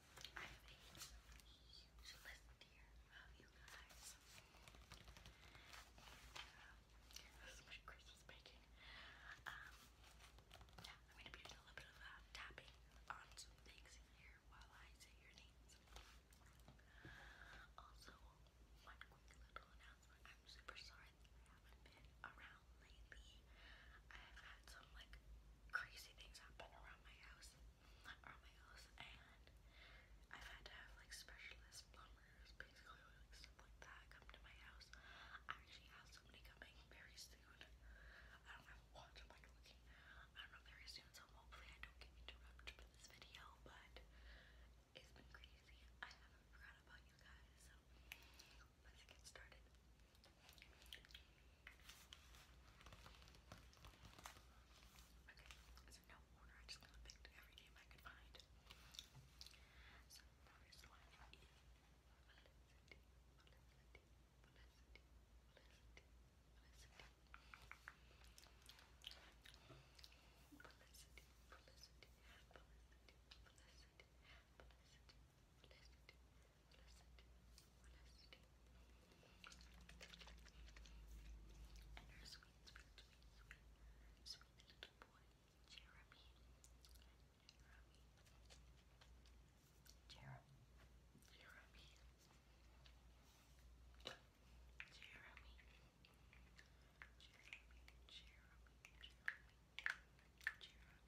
I have a huge list here of you guys. And, um, Christmas baking. Um, yeah, I'm going to be doing a little bit of tapping on some things here while I say your names. Also, one quick little announcement. I'm super sorry I haven't been around lately. I've had some like crazy things happen around around my house, around my house, and I've had to have like specialist plumbers, basically, like stuff like that, come to my house. I actually have somebody coming very soon. I don't have a watch. I'm like looking. I don't know very soon, so hopefully I don't get interrupted for this video. But it's been crazy. I haven't forgot about you guys. So let's get started. Okay, so no order, I just kind of picked every name I could find. So first one is Felicity, Felicity, Felicity. Felicity, Felicity, Felicity, Felicity, Felicity, Felicity, Felicity, and her sweet, sweet, sweet, sweet, sweet little boy, Jeremy. Jeremy. Jeremy. Jeremy. Jeremy. Jeremy. Jeremy. Jeremy. Jeremy.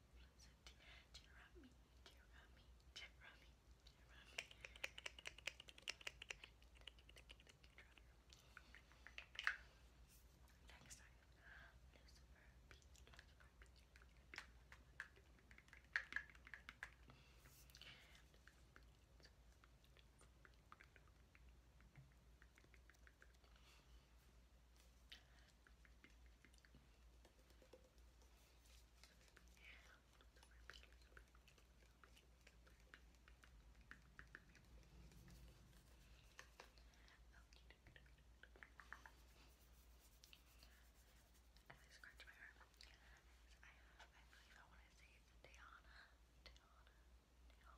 so, Jeremy, Jeremy, Jeremy, Jeremy. Next time, Lucifer, B, Lucifer, B, B. As I scratch my arm, I have, I believe I want to say it's Deanna, Deanna, Deanna,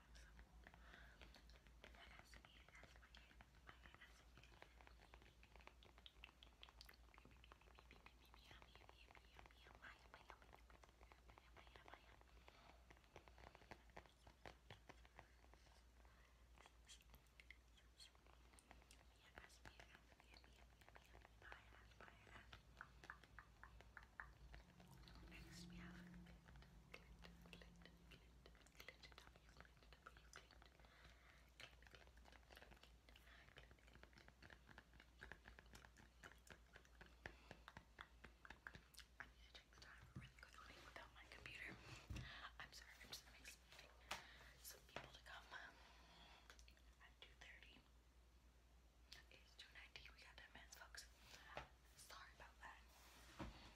Next we have Glit, Glit, Glit, Glit, cleaned you I need to check the time really quickly without my computer. I'm sorry, I'm just expecting some people to come at 2.30. It's 2.90, we got 10 minutes, folks. Sorry about that.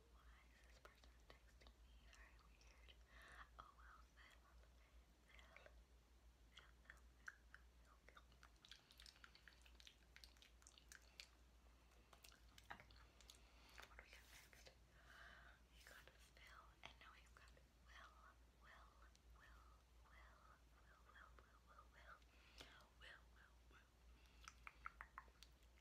why is this person texting me? Very weird. Oh well, Phil. Phil. Phil, Phil, Phil, Phil, Phil. Okay. What do we got next? We got Phil, and now we've got Will, Will, Will, Will, Will, Will, Will, Will, Will, Will, Will, Will.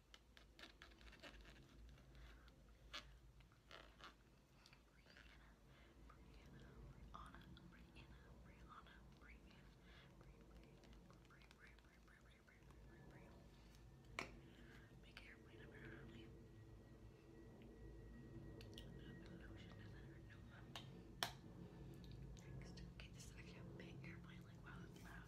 Next, okay, this is actually a big airplane. Like, it's loud.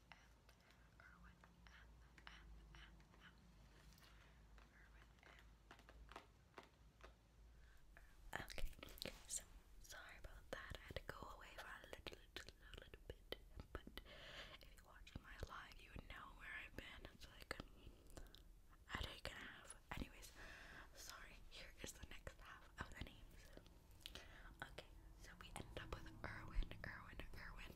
Irwin Okay, so sorry about that. I had to go away for a little, little, little bit. But if you watched my live, you would know where I've been. It's like a day and a half. Anyways, sorry. Here is the next half of the names. Okay, so we end up with Irwin, Irwin, Irwin.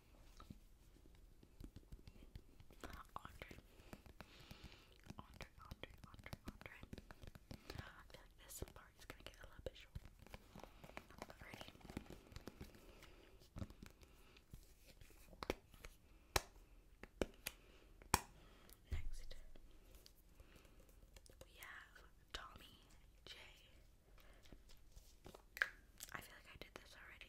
Andre. Andre, Andre, Andre, Andre. I feel like this part is gonna get a little bit short. Next, we have Tommy J. I feel like I did this already.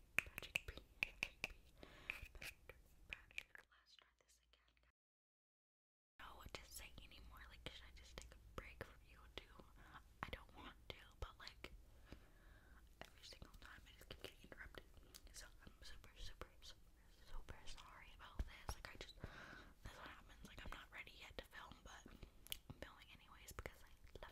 I know what to say anymore. Like, should I just take a break from YouTube? I don't want to, but like, every single time I just keep getting interrupted. So I'm super, super, super, super sorry about this. Like, I just, that's what happens. Like, I'm not ready yet to film, but I'm filming anyways because I love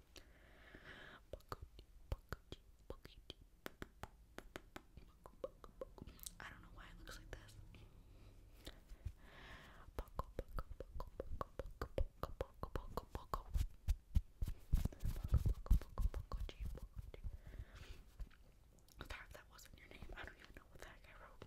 I don't know why it looks like this. that wasn't your name. I don't even know what the heck I wrote.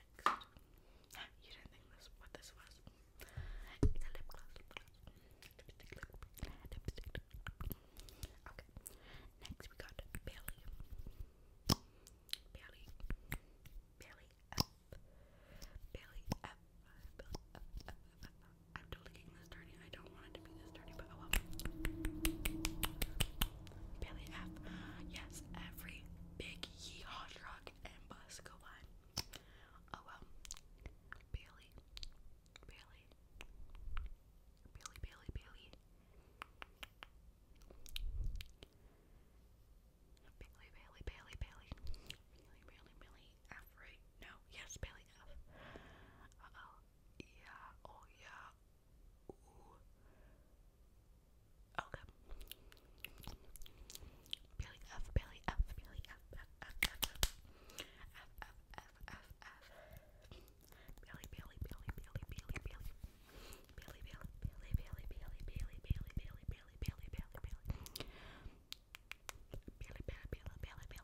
Next. You didn't think this what this was. Okay. Next we got Bailey. Bailey. Bailey Bailey F. F. I'm totally getting this dirty. I don't want it to be this dirty, but oh well. Bailey F. Yes, every big yee rock and bus go by. Oh well. Bailey. Bailey. Bailey, Bailey, Bailey. Bailey, Bailey, Bailey, Bailey. Bailey, Bailey, Bailey. F, right? No. Yes, Bailey F. Uh oh. Yeah. Oh yeah. Okay. Billy F, Billy F, Billy F, F, F, F, F, F, F, F, F, Billy, Billy, Billy, Billy, Billy, Billy, Billy, Billy, Billy, Billy, Billy, Billy, Billy, Billy, Billy, Billy, Billy, Billy. Billy, Billy, Billy, Billy, Billy, Billy,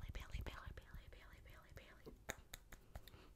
Billy, Billy, Billy, Billy, Billy.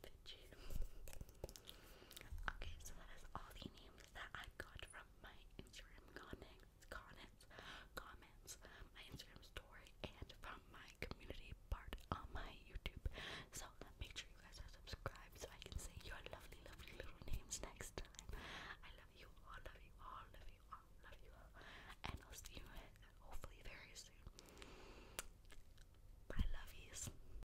Pikachu. okay, so that is all the names that I got from my Instagram comments, comments, comments, my Instagram story, and from my community part on my YouTube. So make sure you guys are subscribed so I can say your lovely, lovely little names next time. I love you all, love you all, love you all, love you all, and I'll see you hopefully very soon. I love